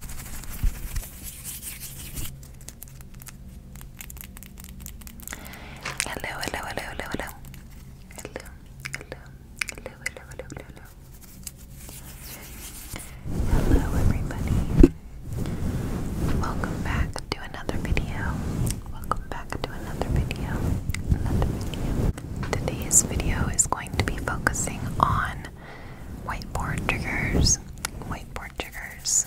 Hello, hello, hello, hello, hello. Hello, hello, hello, hello, hello, hello. Hello, everybody. Welcome back to another video. Welcome back to another video. Another video. Today's video is going to be focusing on whiteboard triggers. Whiteboard triggers.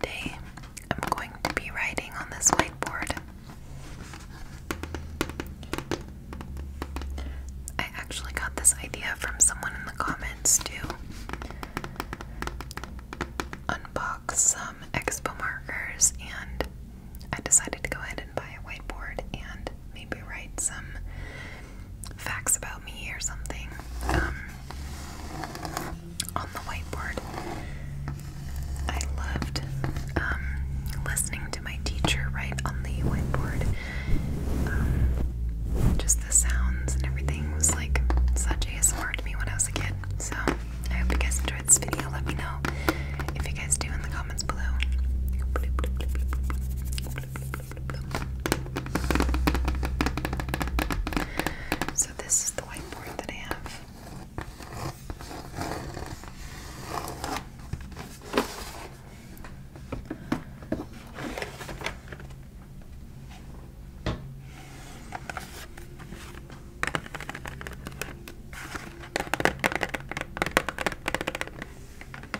Today, I'm going to be writing on this whiteboard. I actually got this idea from someone in the comments to unbox some expo markers, and I decided to go ahead and buy a whiteboard and maybe write some facts about me or something um, on the whiteboard. I loved um, listening to my teacher write on the whiteboard. Um, just the sounds and everything was like such ASMR to me when I was a kid. So I hope you guys enjoyed this video. Let me know if you guys do in the comments below. So this is the whiteboard that I have.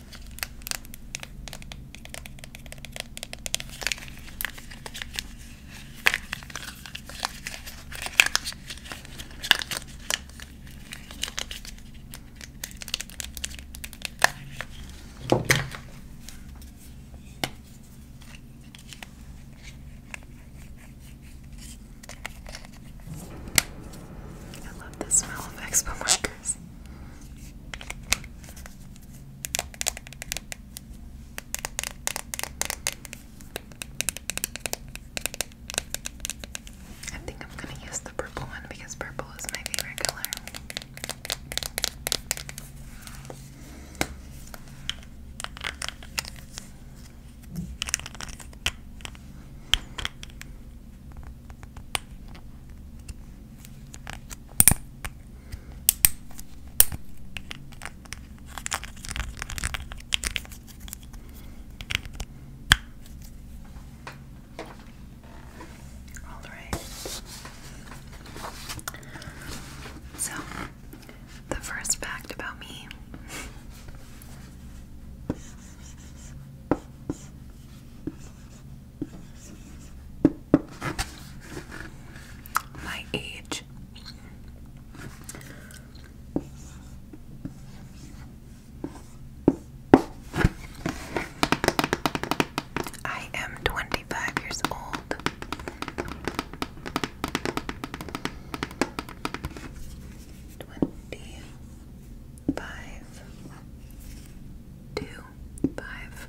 I love the smell of expo markers. I think I'm going to use the purple one because purple is my favorite color. All right. So, the first fact about me my age. I am 25 years old. Twenty five, two, five.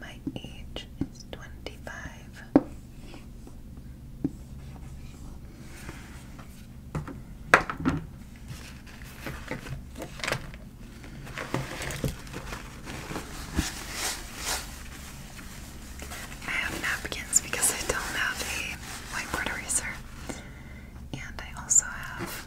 My age is twenty five. I have napkins because I don't have a whiteboard eraser. And I also have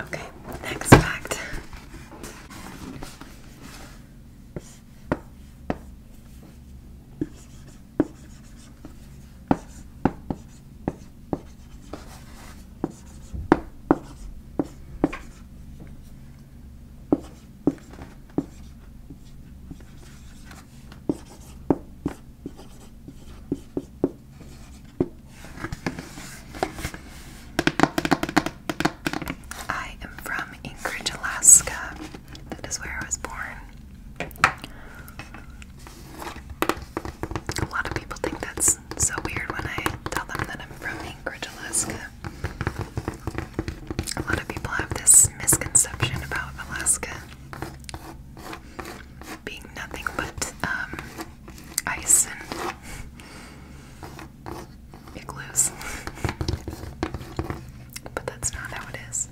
Okay, next fact. I am from Anchorage, Alaska. That is where I was born. A lot of people think that's so weird when I tell them that I'm from Anchorage, Alaska. A lot of people have this misconception about Alaska being nothing but um, ice and igloos. but that's not how it see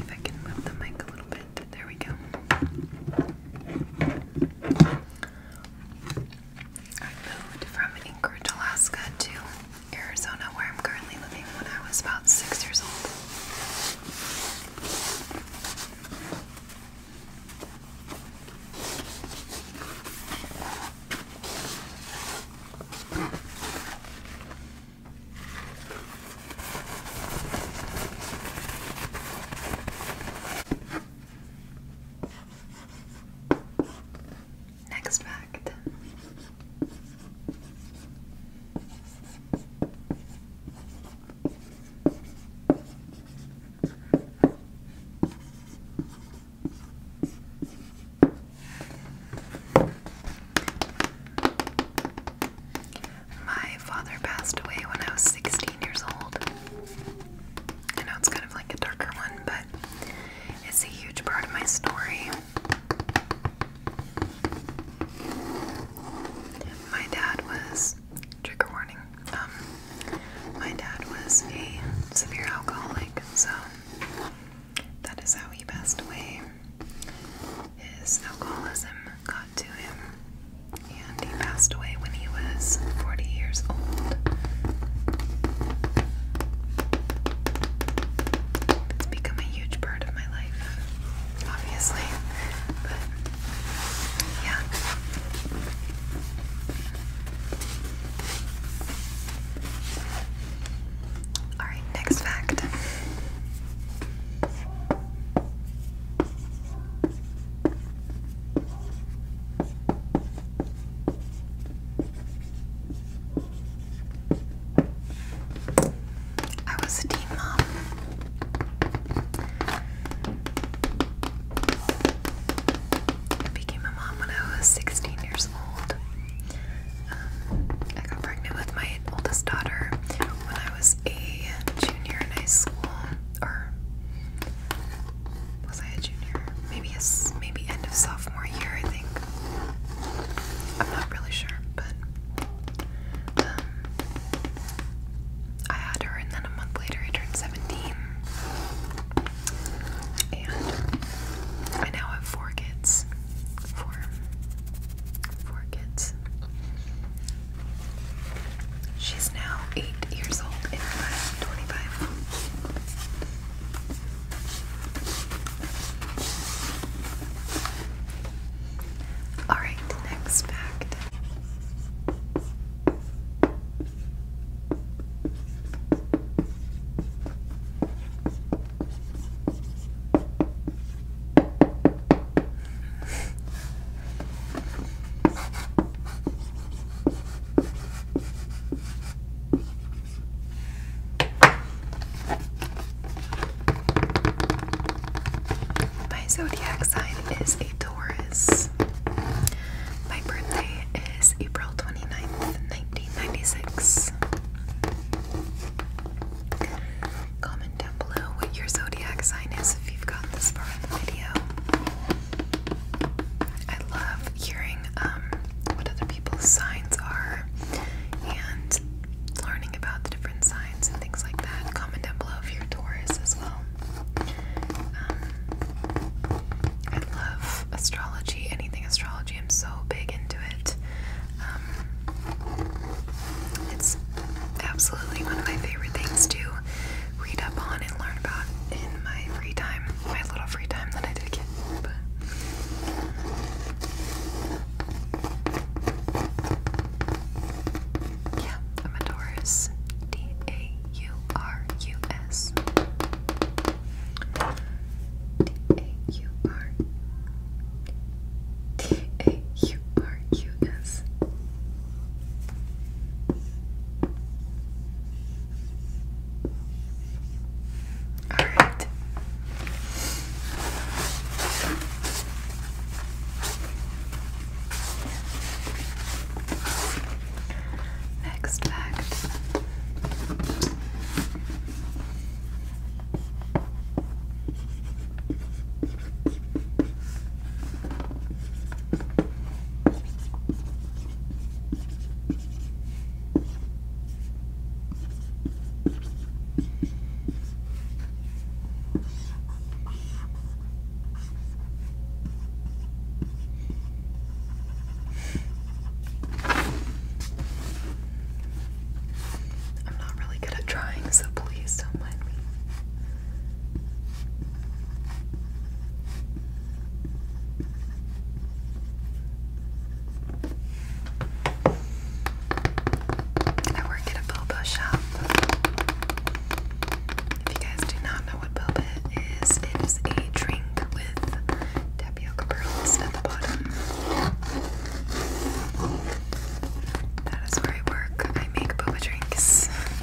if I can move the mic a little bit. There we go. I moved from Anchorage, Alaska to Arizona, where I'm currently living, when I was about six years old. Next fact. My father passed away when I was 16 years old. I know it's kind of like a darker one, but it's a huge part of my story. My dad was, trigger warning, um, my dad was a severe alcoholic, so that is how he passed away. His alcoholism got to him, and he passed away when he 40 years old. It's become a huge part of my life, obviously. yeah. Alright, next fact. I was a teen mom. I became a mom when I was 16 years old. Um, I got pregnant with my oldest daughter when I was a junior in high school, or was I a junior? Maybe a, maybe end of sophomore year, I think. I'm not really sure, but um, I had her, and then a month later, I turned 17, and I now have four kids. Four, four kids. She's now eight years old, and I'm 25. All right, next fact. My zodiac sign is a Taurus. My birthday is April 29th, 1996. Comment down below what your zodiac sign is if you've gotten this far in the video. I love hearing um, what other people's signs are and learning about the different signs and things like that. Comment down below if you're Taurus as well. Um, I love astrology, anything astrology. I'm so big into it. Um, it's absolutely one of my favorite things to read up on and learn about in my free time my little free time that I did get. yeah, I'm a D A U R U S. D A U R. D A U R U S. All right. Next fact. I'm not really good at drawing, so please don't mind me. I work in a boba shop. If you guys do not know what boba is, it is a drink with tapioca pearls at the bottom. That is where I work. I make boba drinks.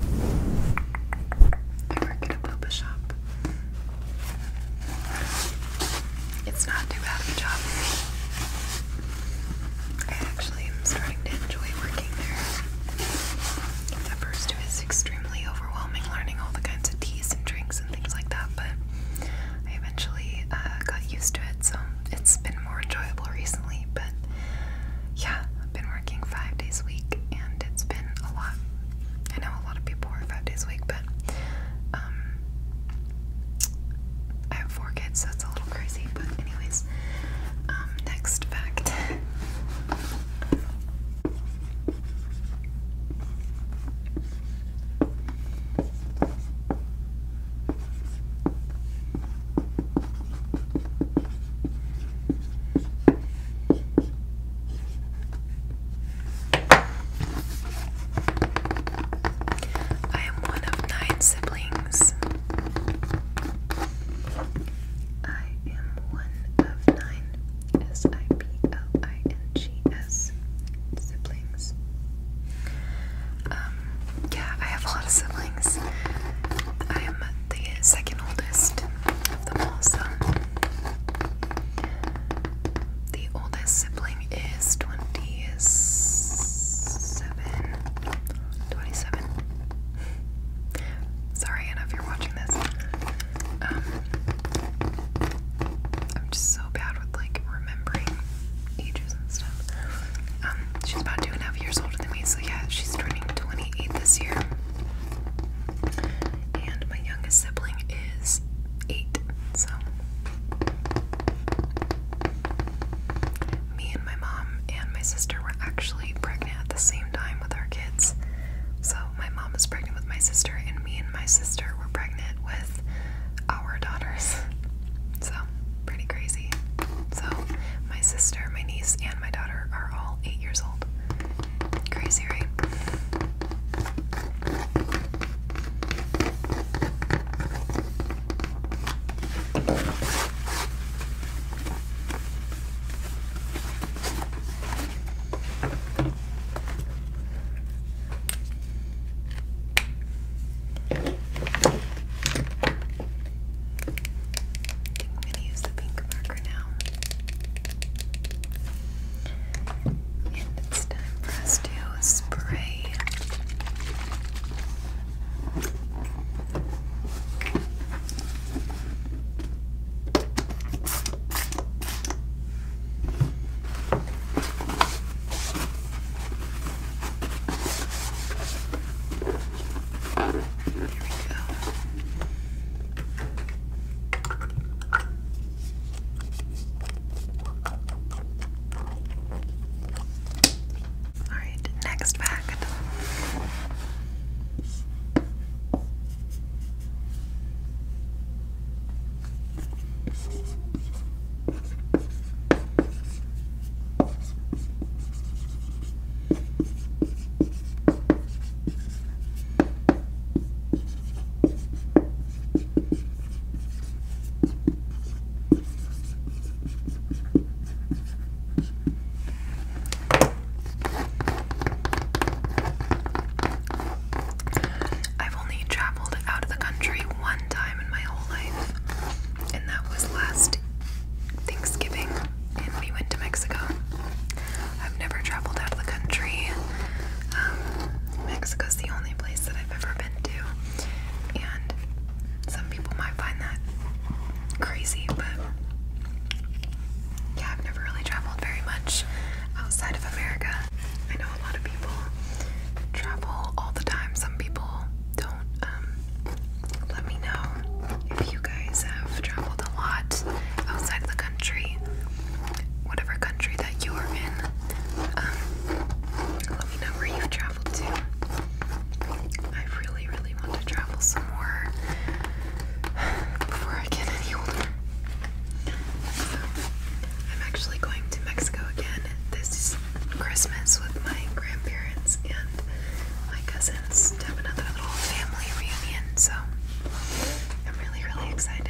I work at a boba shop. It's not too bad of a job. I actually am starting to enjoy working there. At first, it was extremely overwhelming learning all the kinds of teas and drinks and things like that, but I eventually uh, got used to it, so it's been more enjoyable recently. But yeah, I've been working five days a week and it's been a lot. I know a lot of people work five days a week, but um, I have four kids, so it's a little crazy. But, anyways, um, next fact. I am one of nine siblings. I am one of nine S I P siblings. Um, yeah, I have a lot of siblings. I am the second oldest of them all, so the oldest sibling is 27. 27. Sorry, Anna, if you're watching this. Um, I'm just so bad with like remembering ages and stuff. Um, she's about two and a half years older than me, so yeah, she's turning 28 this year. And my youngest sibling is eight, so me and my mom and my sister were actually pregnant at the same time with our kids. So my mom was pregnant with my sister, and me and my sister were pregnant with our daughters. So pretty crazy. So, my sister, my niece, and my daughter are all eight years old. Crazy, right? I'm going to use the pink marker now. And it's time for us spray. There we go. All right, next fact. I've only traveled out of the country one time in my whole life, and that was last Thanksgiving and we went to Mexico. I've never traveled out of the country. Um, Mexico's the only place that I've ever been to, and some people might find that crazy, but yeah, I've never really traveled very much outside of America. I know a lot of people travel all the time. Some people don't. Um, let me know if you guys have traveled a lot outside of the country, whatever country that you are in. Um, let me know where you've traveled to. I really, really want to travel some more before I get any older. I'm actually going to Mexico again this Christmas with my grandparents and my cousin to have another little family reunion, so I'm really, really excited.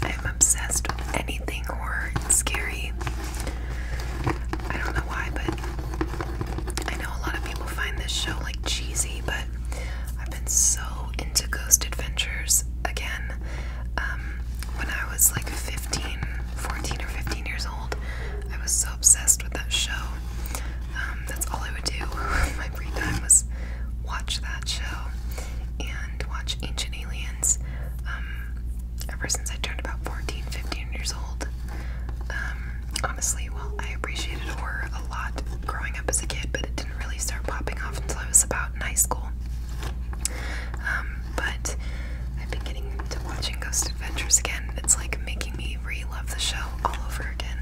I'm obsessed with anything horror and scary. I don't know why, but I know a lot of people find this show like cheesy, but I've been so into ghost adventures again. Um, when I was like 15, 14 or 15 years old, I was so obsessed with that show. Um, that's all I would do my free time was watch that show and watch Ancient Aliens. Um, ever since I turned about 14, 15 years old honestly, well, I appreciated horror a lot growing up as a kid, but it didn't really start popping off until I was about in high school. Um, but I've been getting into watching Ghost Adventures again. It's like making me re love the show all over again.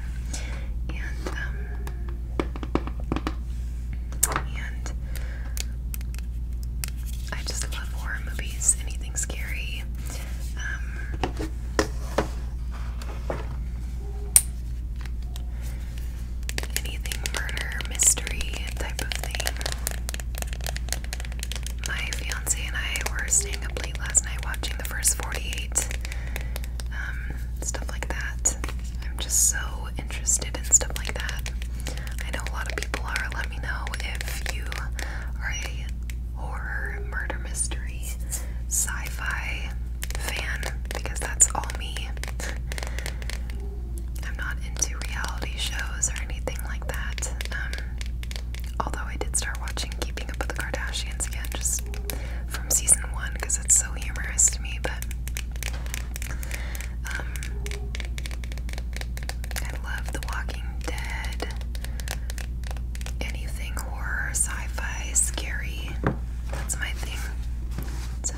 Um, and, I just love horror movies, anything scary. Um, Anything murder, mystery type of thing. My fiance and I were staying up late last night watching the first 48. Um, stuff like that. I'm just so interested in stuff like that. I know a lot of people are. Let me know if you are a horror, murder mystery, sci fi fan because that's all me. I'm not into reality shows or anything like that. Um, although I did start watching Keeping Up with the Kardashians again, just from season one because it's so humorous to me, but. Um, I love The Walking Dead anything horror, sci-fi, scary. That's my thing. So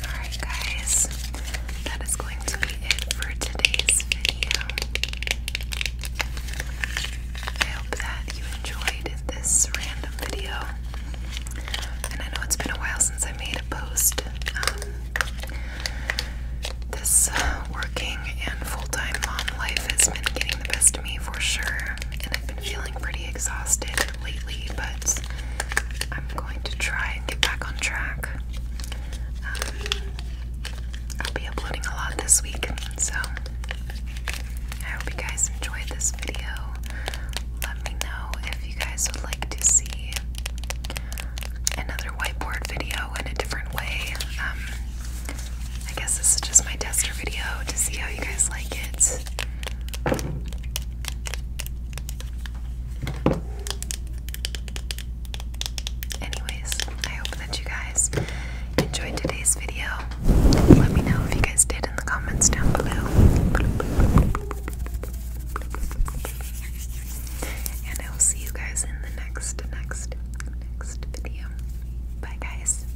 Alright, guys, that is going to be it for today's video. I hope that you enjoyed this random video. And I know it's been a while since I made a post. Um, this uh, working and full time mom life has been getting the best of me for sure, and I've been feeling pretty exhausted lately, but I'm going to try and get back on track. Um, I'll be uploading a lot this week, so I hope you guys enjoyed this video. Let me know if you guys would like to see another whiteboard video in a different way. Um, I guess this is just my tester video to see how you guys like it. Anyways, I hope that you guys enjoyed today's video. Let me know if you guys did in the comments down below. And I will see you guys in the next, next, next video. Bye, guys.